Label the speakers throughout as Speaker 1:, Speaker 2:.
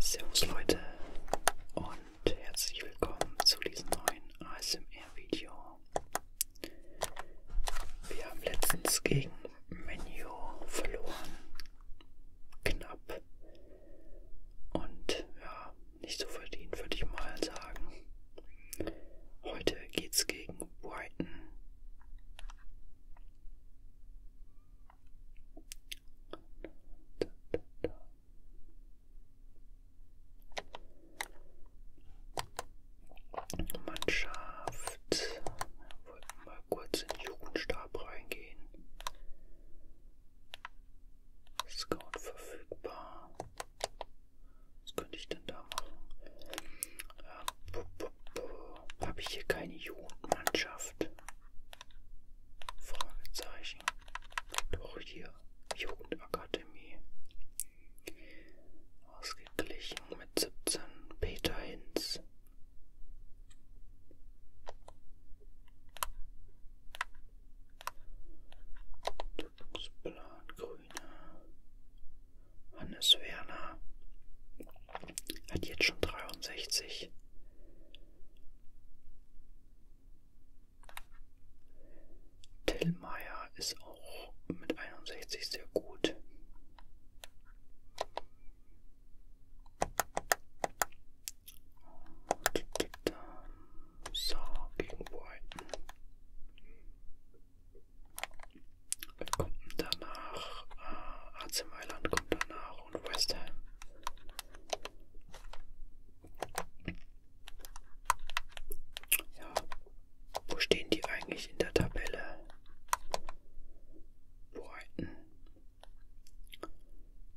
Speaker 1: Servus Leute und herzlich willkommen zu diesem neuen ASMR-Video. Wir haben letztens gegen Menu verloren. Knapp. Und ja, nicht so verdient, würde ich mal sagen. Heute geht's gegen Brighton. Man schafft. Wollten mal kurz in den Jugendstab reingehen. Scout verfügbar. Was könnte ich denn da machen? Äh, Habe ich hier keine Jugendmannschaft? Fragezeichen. Und auch hier Jugendakademie. Ausgeglichen mit 17 Peter Hinz. Plan Grüne. Hannes Werner hat jetzt schon 63. Tillmeier ist auch mit 61 sehr gut. So, gegen Brighton. Kommt danach, äh, AC Mailand kommt danach won't waste time. Ja, wo stehen die eigentlich in der Tabelle? Brighton.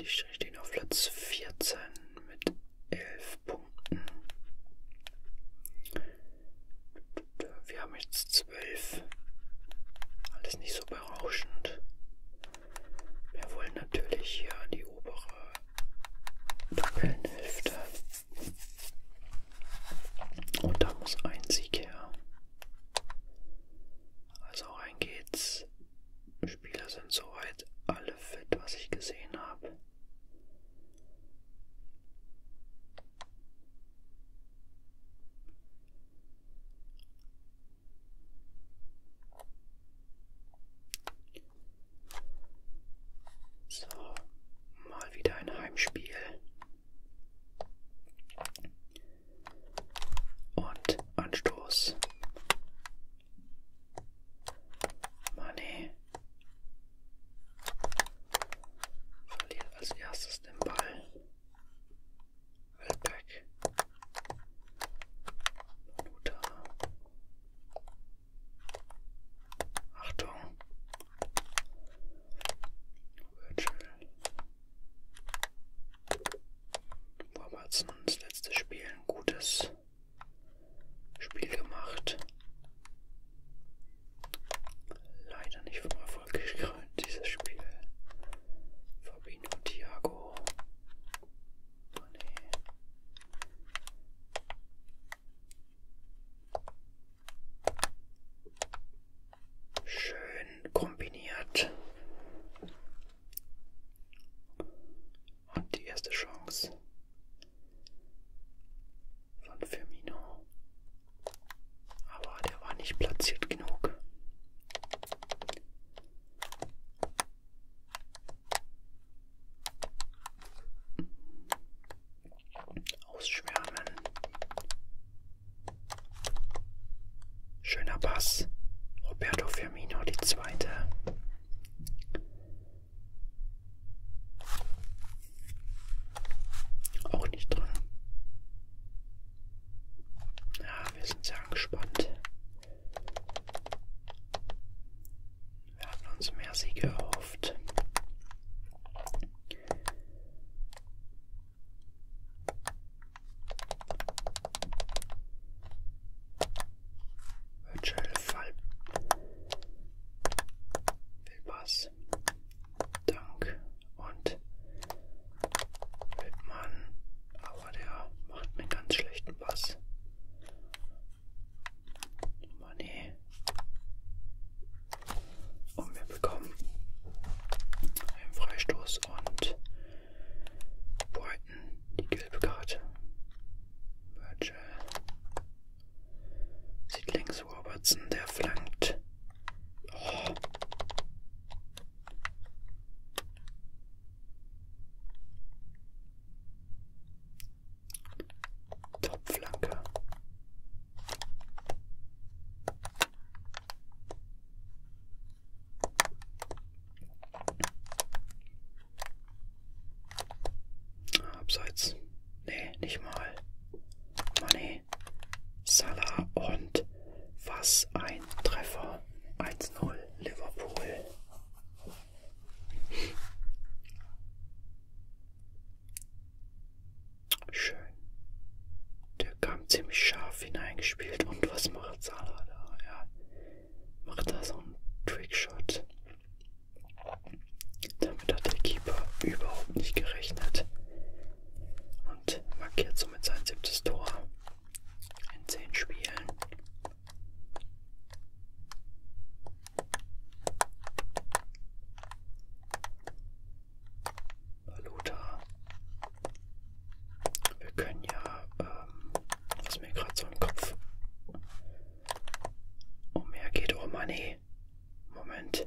Speaker 1: Die stehen auf Platz 14 mit 11 Punkten. Wir haben jetzt 12. Alles nicht so berauschend. Wir wollen natürlich hier an die obere Tabellenhälfte. Und da muss ein Sieg her. Also rein geht's. Spieler sind soweit alle fit, was ich gesehen habe. So, mal wieder ein Heimspiel. Und Anstoß. Mané verliert als erstes den Ball. Wildpack. Luta. Achtung. Virgil. Robertson, das letzte Spiel, ein gutes Spiel gemacht. Leider nicht vom Erfolg gekrönt, dieses Spiel. Fabino Thiago, Oh nee. Schön kombiniert. Und die erste Chance von Firmino. Aber der war nicht platziert genug. Ausschwärmen. Schöner Pass. Roberto Firmino, die zweite. Auch nicht drin. Ja, wir sind sehr angespannt. Wir hatten uns mehr Siege erhofft. Virtual Fall. Will Pass. Dank und Wittmann, aber der macht einen ganz schlechten Pass. Money. Und wir bekommen einen Freistoß und Brighton die gelbe Karte. Virgil sieht links Robertson, der flankt. Oh. Topflanke. Abseits. Nee, nicht mal. Money. Salah und was ein Treffer. 1-0 Liverpool. Schön. Der kam ziemlich scharf hineingespielt. Und was macht Salah da? Er macht da so einen Trickshot. Damit hat der Keeper überhaupt nicht gerechnet. Und markiert somit sein siebtes Tor in zehn Spielen. Baluta. Wir können ja, ähm, was mir gerade so im Kopf umhergeht, oh Money. Oh, Moment.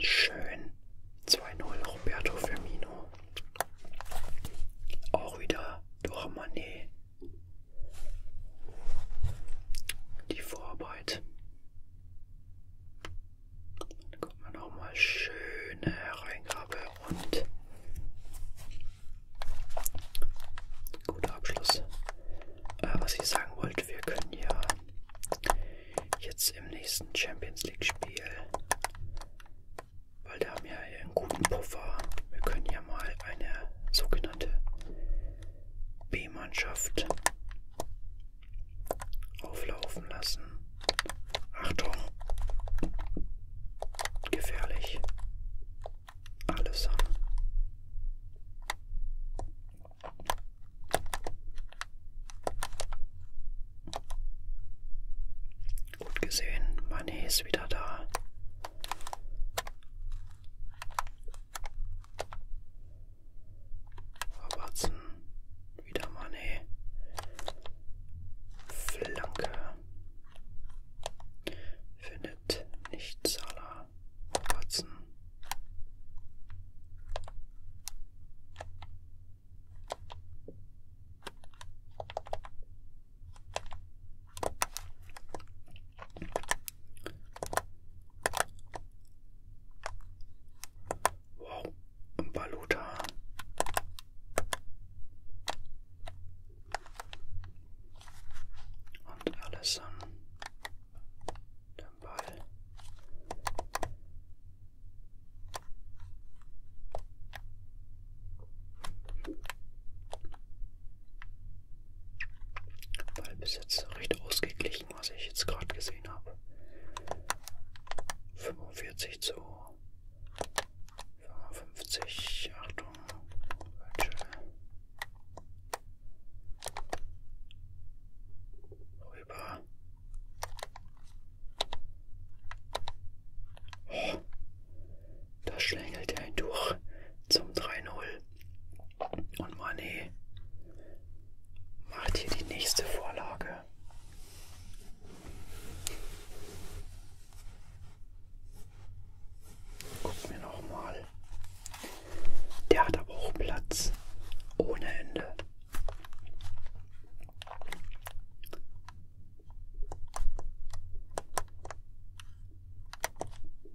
Speaker 1: Schön. 2-0 Roberto Firmino. Auch wieder durch Manet. Die Vorarbeit. Dann kommt man nochmal schöne Hereingabe und guter Abschluss. Äh, was ich sagen wollte, wir können ja jetzt im nächsten Champions League Spiel. Weil da haben wir ja einen guten Puffer. Wir können ja mal eine sogenannte B-Mannschaft auflaufen lassen. Achtung! Gefährlich. Alles an. Gut gesehen, Mané ist wieder da. Robertson, wieder Mané. Flanke. Findet nicht Salah putzen. Wow, ein Baluta. Und alles an den Ball. Ball bis jetzt recht ausgeglichen, was ich jetzt gerade gesehen habe. 45 zu 55, Achtung, Virtual. Rüber. Oh, da schlängelt er ihn durch zum 3-0. Und Mané macht hier die nächste Vorlage. Guck mir nochmal der hat aber auch Platz ohne Ende.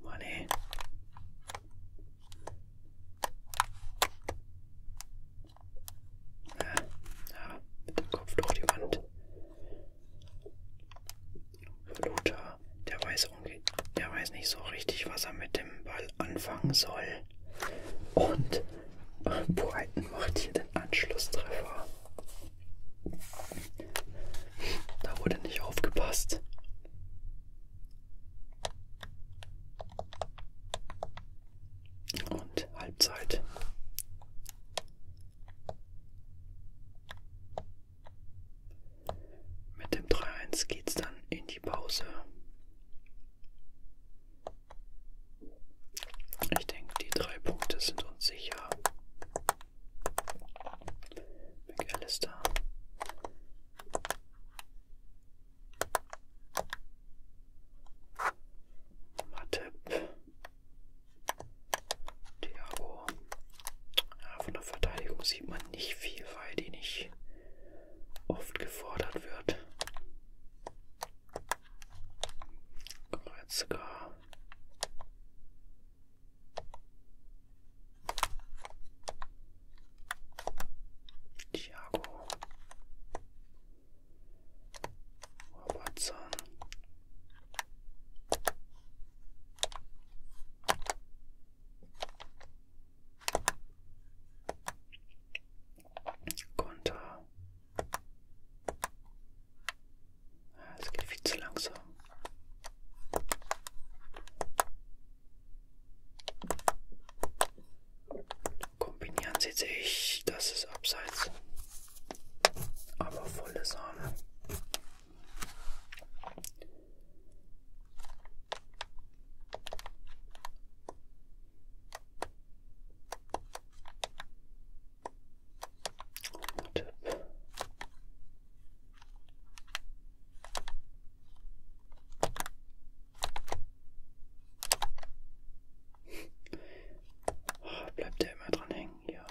Speaker 1: Mann, ey. Ja, ja, mit dem Kopf durch die Wand. Luta, der weiß, der weiß nicht so richtig, was er mit dem dem Ball anfangen soll. Und Brighton äh, macht hier den Anschlusstreffer. Da wurde nicht aufgepasst. Und Halbzeit. Mit dem 3-1 geht's dann in die Pause. Ich denke, die drei Punkte sind uns sicher. McAllister. Matip. Thiago. Ja, von der Verteidigung sieht man nicht viel, weil die nicht oft gefordert wird. Kreuz K. Thiago. Robertson. Konter. Es ah, geht viel zu langsam. Kombinieren sieht sich, das ist abseits. Aber volle Sahne. Tipp. Oh, bleibt der immer dran hängen hier?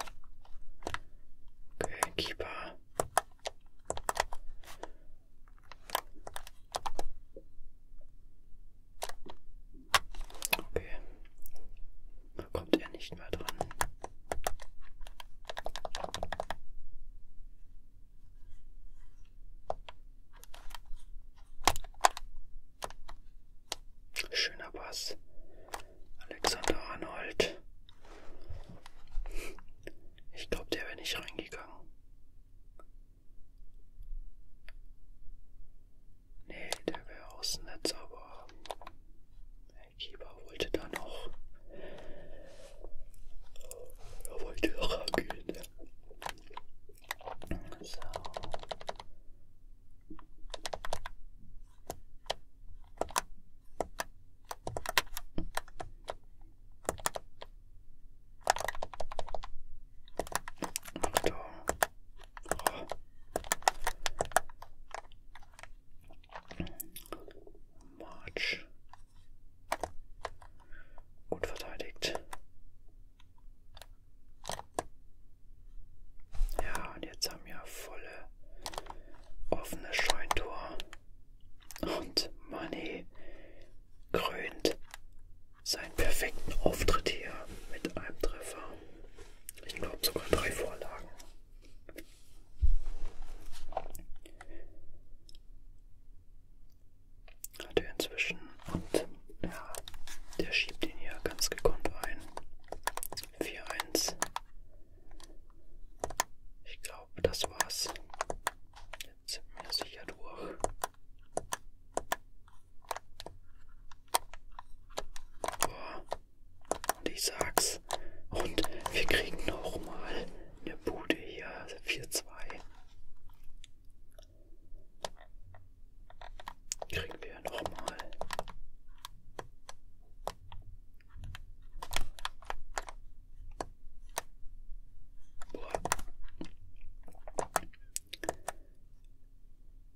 Speaker 1: Okay, Keeper. Okay. Da kommt er nicht mehr dran. Schöner Pass. Alexander Arnold. Ich glaube, der wäre nicht reingegangen. Nee, der wäre aus dem Netz, aber der Keeper wollte da noch. Er wollte rangehen. So. March. Gut verteidigt. Ja, und jetzt haben wir volle offene Scheuntor. Und Money krönt seinen perfekten Auftritt hier mit einem Treffer. Ich glaube sogar drei Vorlagen. Hat er inzwischen und ja, der schiebt ihn hier ganz gekonnt ein. 4-1. Ich glaube, das war's sind wir sicher durch. Boah. Und ich sag's. Und wir kriegen nochmal eine Bude hier. 4-2. Also kriegen wir nochmal.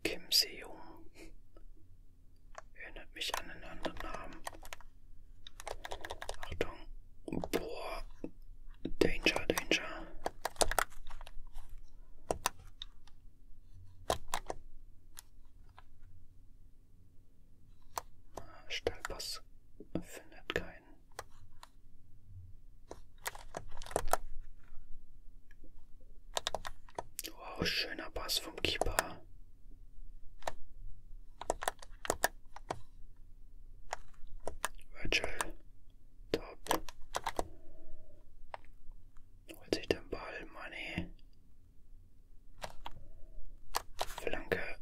Speaker 1: Kim Seung erinnert mich an einen anderen Namen. Achtung, boah, Danger, Danger. Ah, Stellpass findet keinen. Wow, schöner Pass vom Keeper. Virgil. Top. Holt sich den Ball, Money. Flanke.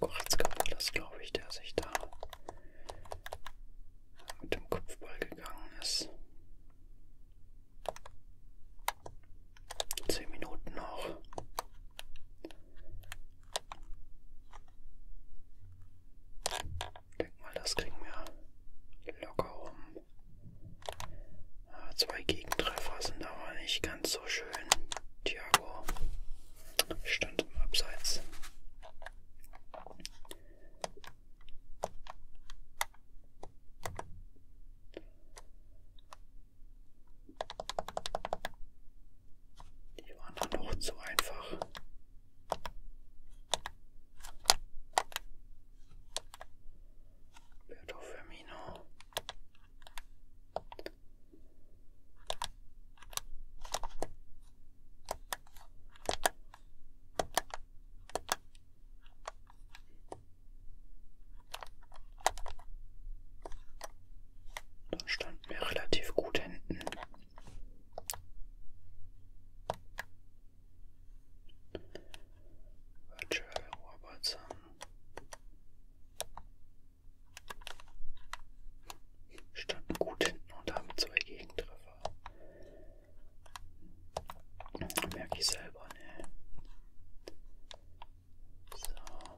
Speaker 1: Goretzka war das, glaube ich, der sich da mit dem Kopfball gegangen ist. Zehn Minuten noch. Ich denke mal, das kriegen wir locker rum. Ah, zwei Gegentreffer sind aber nicht ganz so schön. Thiago stand im Abseits. Die waren dann noch zu einfach. Berto Firmino. Da standen wir relativ gut hinten. Virtual Robots haben. Standen gut hinten und haben zwei Gegentreffer. Merke ich selber, ne? So.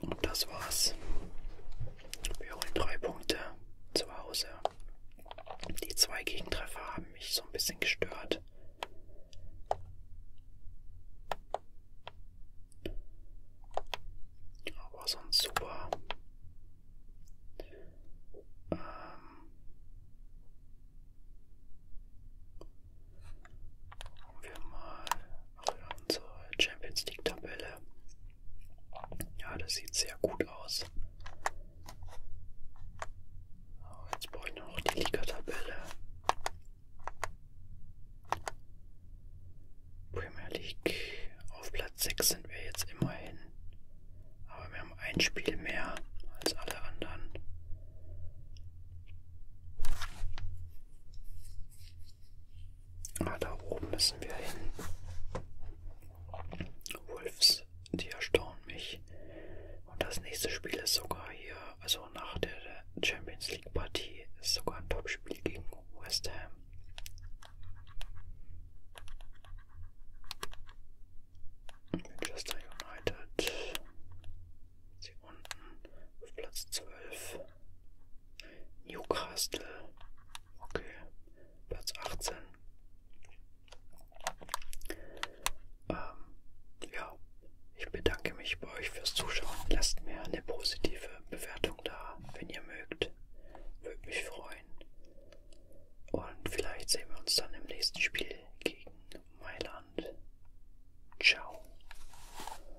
Speaker 1: Und das war's. Wir holen drei Punkte zu Hause. Die zwei Gegentreffer haben mich so ein bisschen gestört. Aber sonst super. Ähm wir mal auch wieder unsere Champions League Tabelle. Ja, das sieht sehr gut aus. Aber jetzt brauche ich noch die Liga-Tabelle. Premier League auf Platz 6 sind wir jetzt immerhin. Aber wir haben ein Spiel mehr als alle anderen. Ah, da oben müssen wir hin. Wolfs, die erstaunen mich. Und das nächste Spiel ist sogar hier, also nach der Champions League Partie, ist sogar ein Topspiel gegen West Ham. Manchester United. Sie unten auf Platz 12. Newcastle. Okay. Platz 18. Ähm, ja, ich bedanke mich bei euch fürs Zuschauen. Lasst mir eine positive Bewertung da, wenn ihr mögt. Würde mich freuen. Und vielleicht sehen wir uns dann im nächsten Spiel gegen Mailand. Ciao.